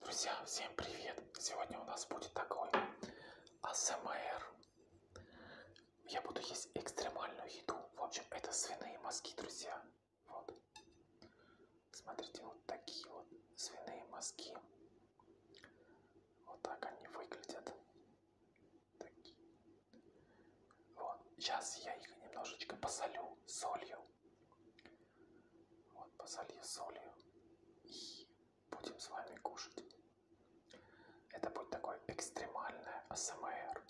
Друзья, всем привет! Сегодня у нас будет такой АСМР. Я буду есть экстремальную еду. В общем, это свиные мозги, друзья. Вот. Смотрите, вот такие вот свиные мозги. Вот так они выглядят. Такие. Вот. Сейчас я их немножечко посолю солью. Вот, посолью солью и будем с вами кушать. Это будет такой экстремальное АСМР.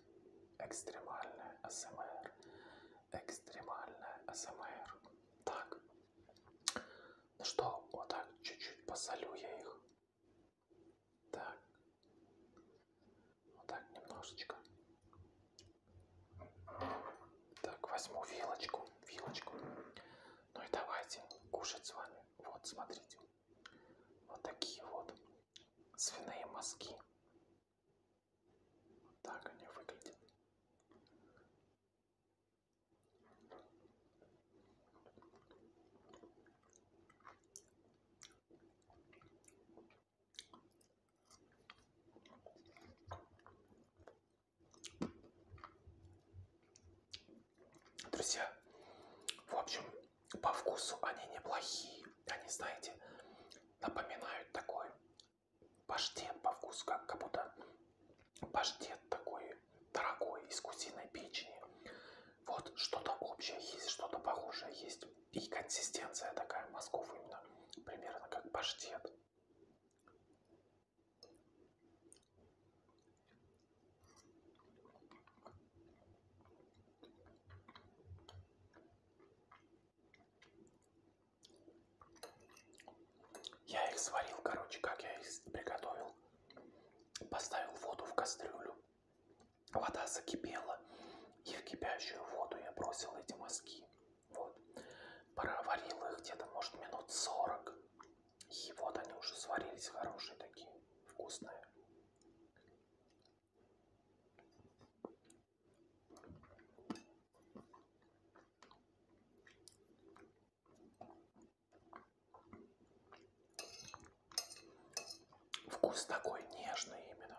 Экстремальное АСМР. Экстремальное АСМР. Так. Ну что, вот так чуть-чуть посолю я их. Так. Вот так немножечко. Так, возьму вилочку, вилочку. Ну и давайте кушать с вами. Вот, смотрите. Вот такие вот свиные мозги. Так они выглядят. Друзья, в общем, по вкусу они неплохие. Они, знаете, напоминают такой паштет по вкусу, как, как будто паштет такой дорогой из куриной печени. Вот что-то общее есть, что-то похожее есть. И консистенция такая мозгов именно примерно как паштет. Я их сварил, короче, как я их приготовил. Поставил воду в кастрюлю. Вода закипела. И в кипящую воду я бросил эти мазки. Вот. Проварил их где-то, может, минут 40. И вот они уже сварились, хорошие такие, вкусные. Вкус такой нежный именно.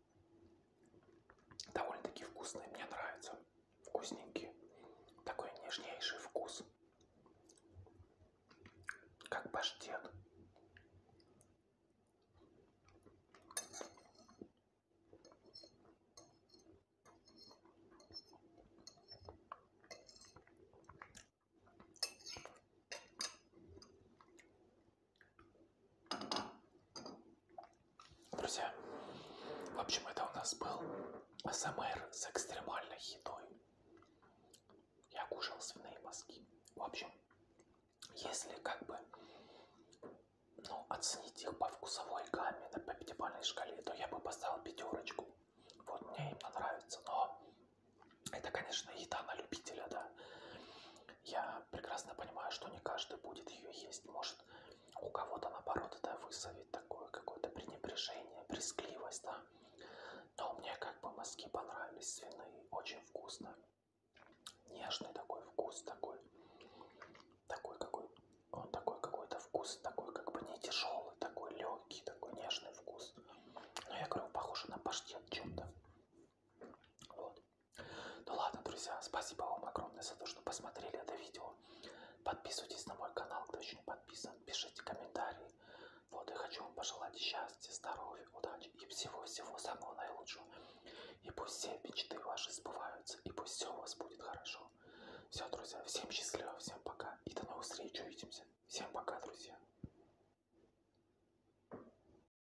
довольно-таки вкусные, мне нравятся, вкусненькие, такой нежнейший вкус, как паштет. Друзья, в общем, это у нас был СМР с экстремальной едой. Я кушал свиные мозги. В общем, если как бы ну, оценить их по вкусовой гамме на по пятибалльной шкале, то я бы поставил пятерочку. Вот мне именно нравится. Но это, конечно, еда на любителя, да. Я прекрасно понимаю, что не каждый будет ее есть. Может, у кого-то, наоборот, это вызовет такое какое-то пренебрежение, брезгливость, да. Но мне как бы мозги понравились свиные, очень вкусно. Нежный такой вкус, такой, такой какой, он такой какой-то вкус, такой как бы не тяжелый, такой легкий, такой нежный вкус. Но я говорю, похоже на паштет чем-то. Вот. Ну ладно, друзья, спасибо вам огромное за то, что посмотрели это видео. Подписывайтесь на мой канал, кто еще не подписан. Пишите комментарии. Вот, и хочу вам пожелать счастья, здоровья, удачи и всего-всего самого наилучшего. И пусть все мечты ваши сбываются, и пусть все у вас будет хорошо. Все, друзья, всем счастливо, всем пока, и до новых встреч, увидимся. Всем пока, друзья.